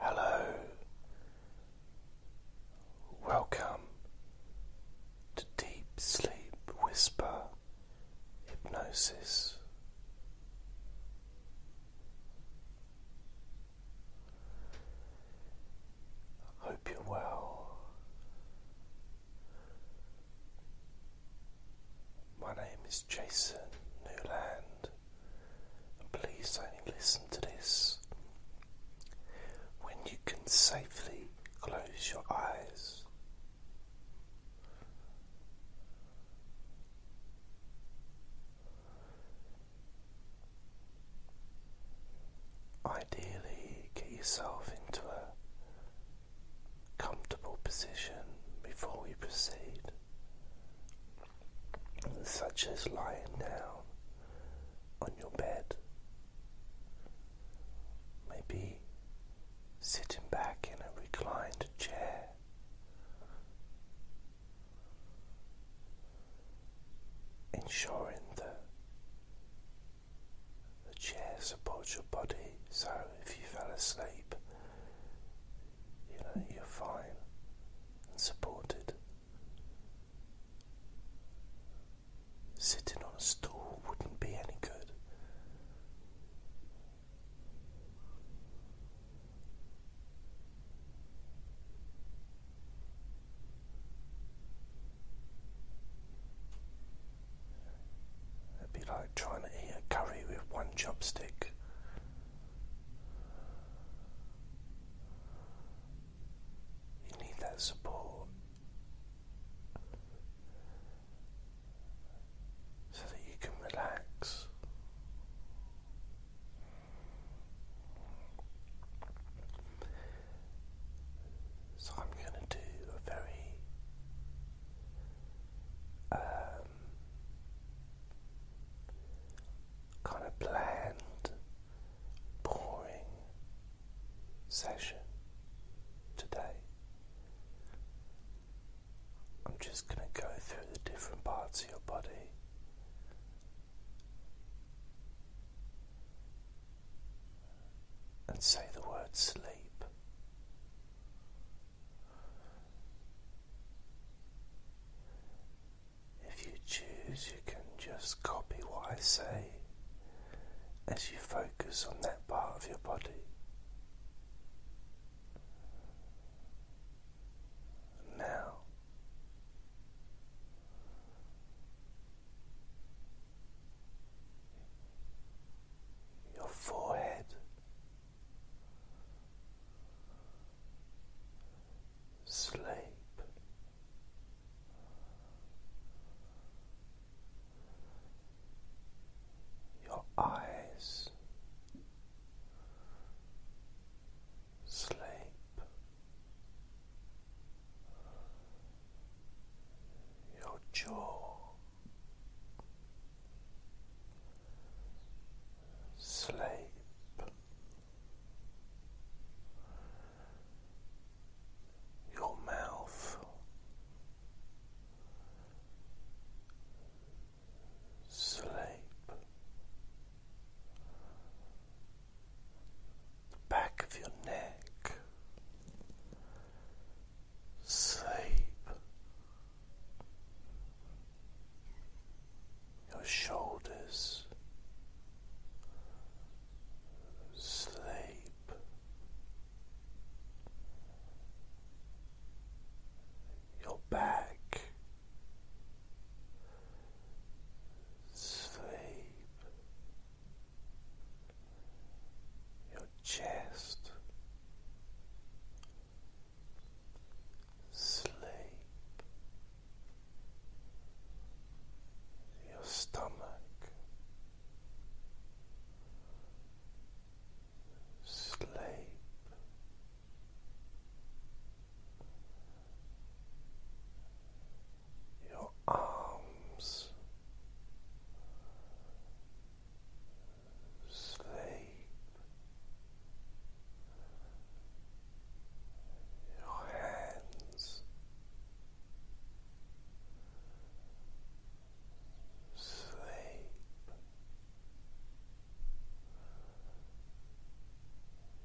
Hello, welcome to Deep Sleep Whisper Hypnosis. Hope you're well. My name is Jason Newland. And please only listen to this when you can safely close your eyes. Ideally, get yourself into a comfortable position before we proceed such as lying down on your bed, maybe sitting back in a reclined chair. Ensuring that the chair supports your body, so if you fell asleep, you know, you're fine and supported. Sitting on a stool wouldn't be any good. that would be like trying to eat a curry with one chopstick. You need that support so that you can relax. So I'm going to do a very uh, kind of bland, boring session today. I'm just going to go through the different parts of your body. And say the word sleep. If you choose, you can just copy what I say as you focus on that part of your body. Now, your forehead sleep. Your eyes sleep, your jaw sleep. Your mouth sleep, the back of your neck sleep, your shoulders, sleep, your back, sleep, your chest sleep. Your stomach, sleep, your arms, sleep. Your hands sleep.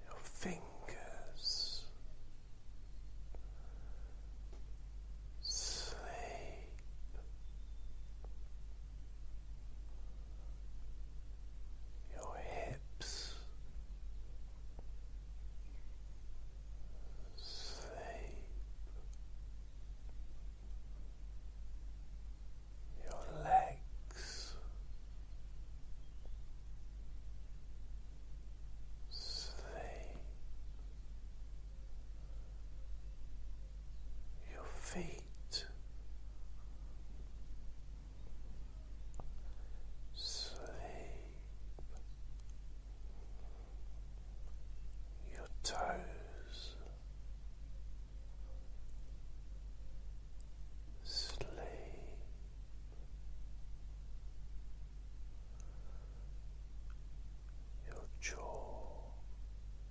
Your fingers sleep your hips sleep. Your legs sleep, your feet sleep your toes sleep your jaw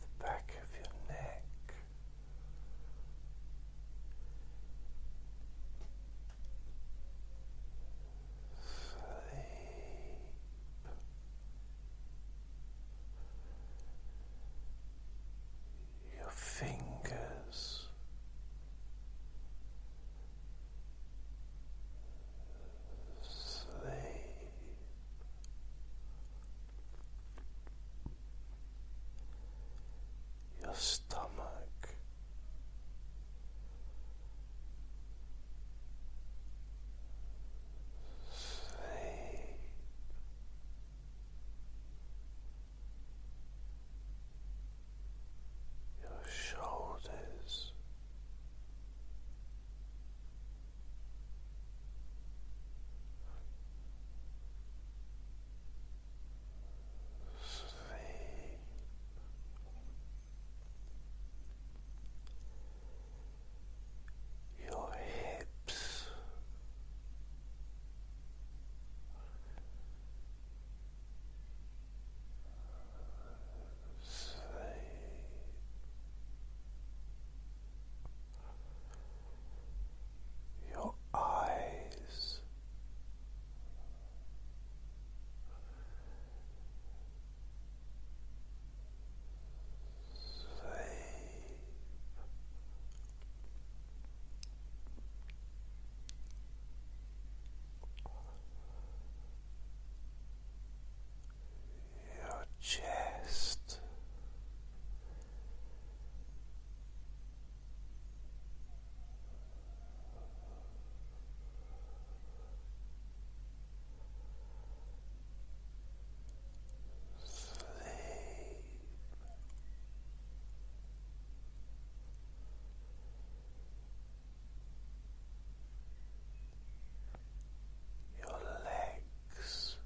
the back of your neck. Sleep. Your fingers sleep your stomach, sleep. Your shoulders, Sleep. Your hips, sleep. Your eyes sleep your chest. Sleep your legs.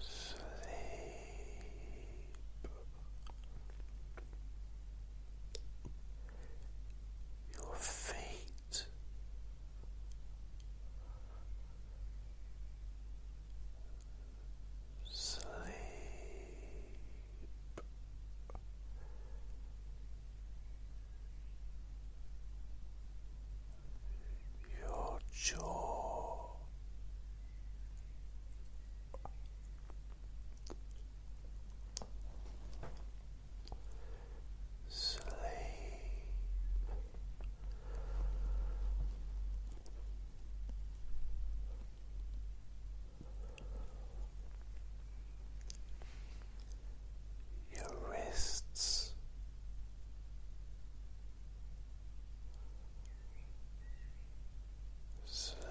Sleep. Your feet Sleep your jaw sleep. Your wrists, sleep,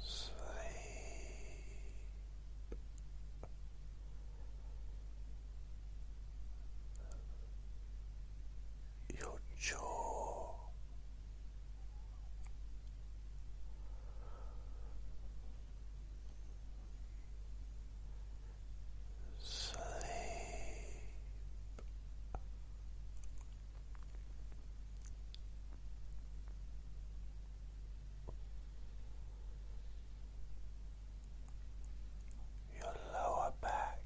sleep. Your jaw, sleep your lower back.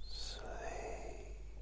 Sleep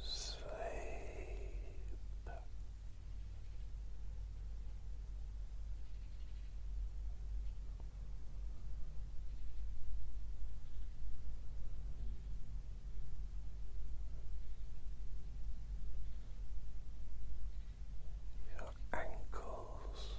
Sleep. Your ankles,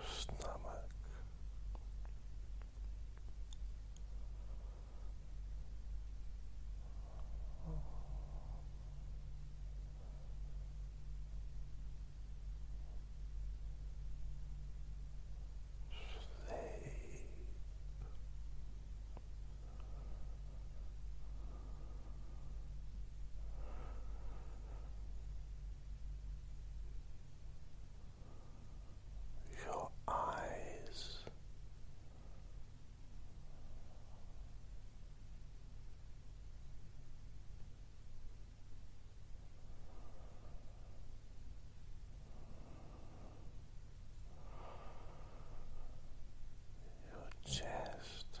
your stomach. Sleep. Your eyes your chest.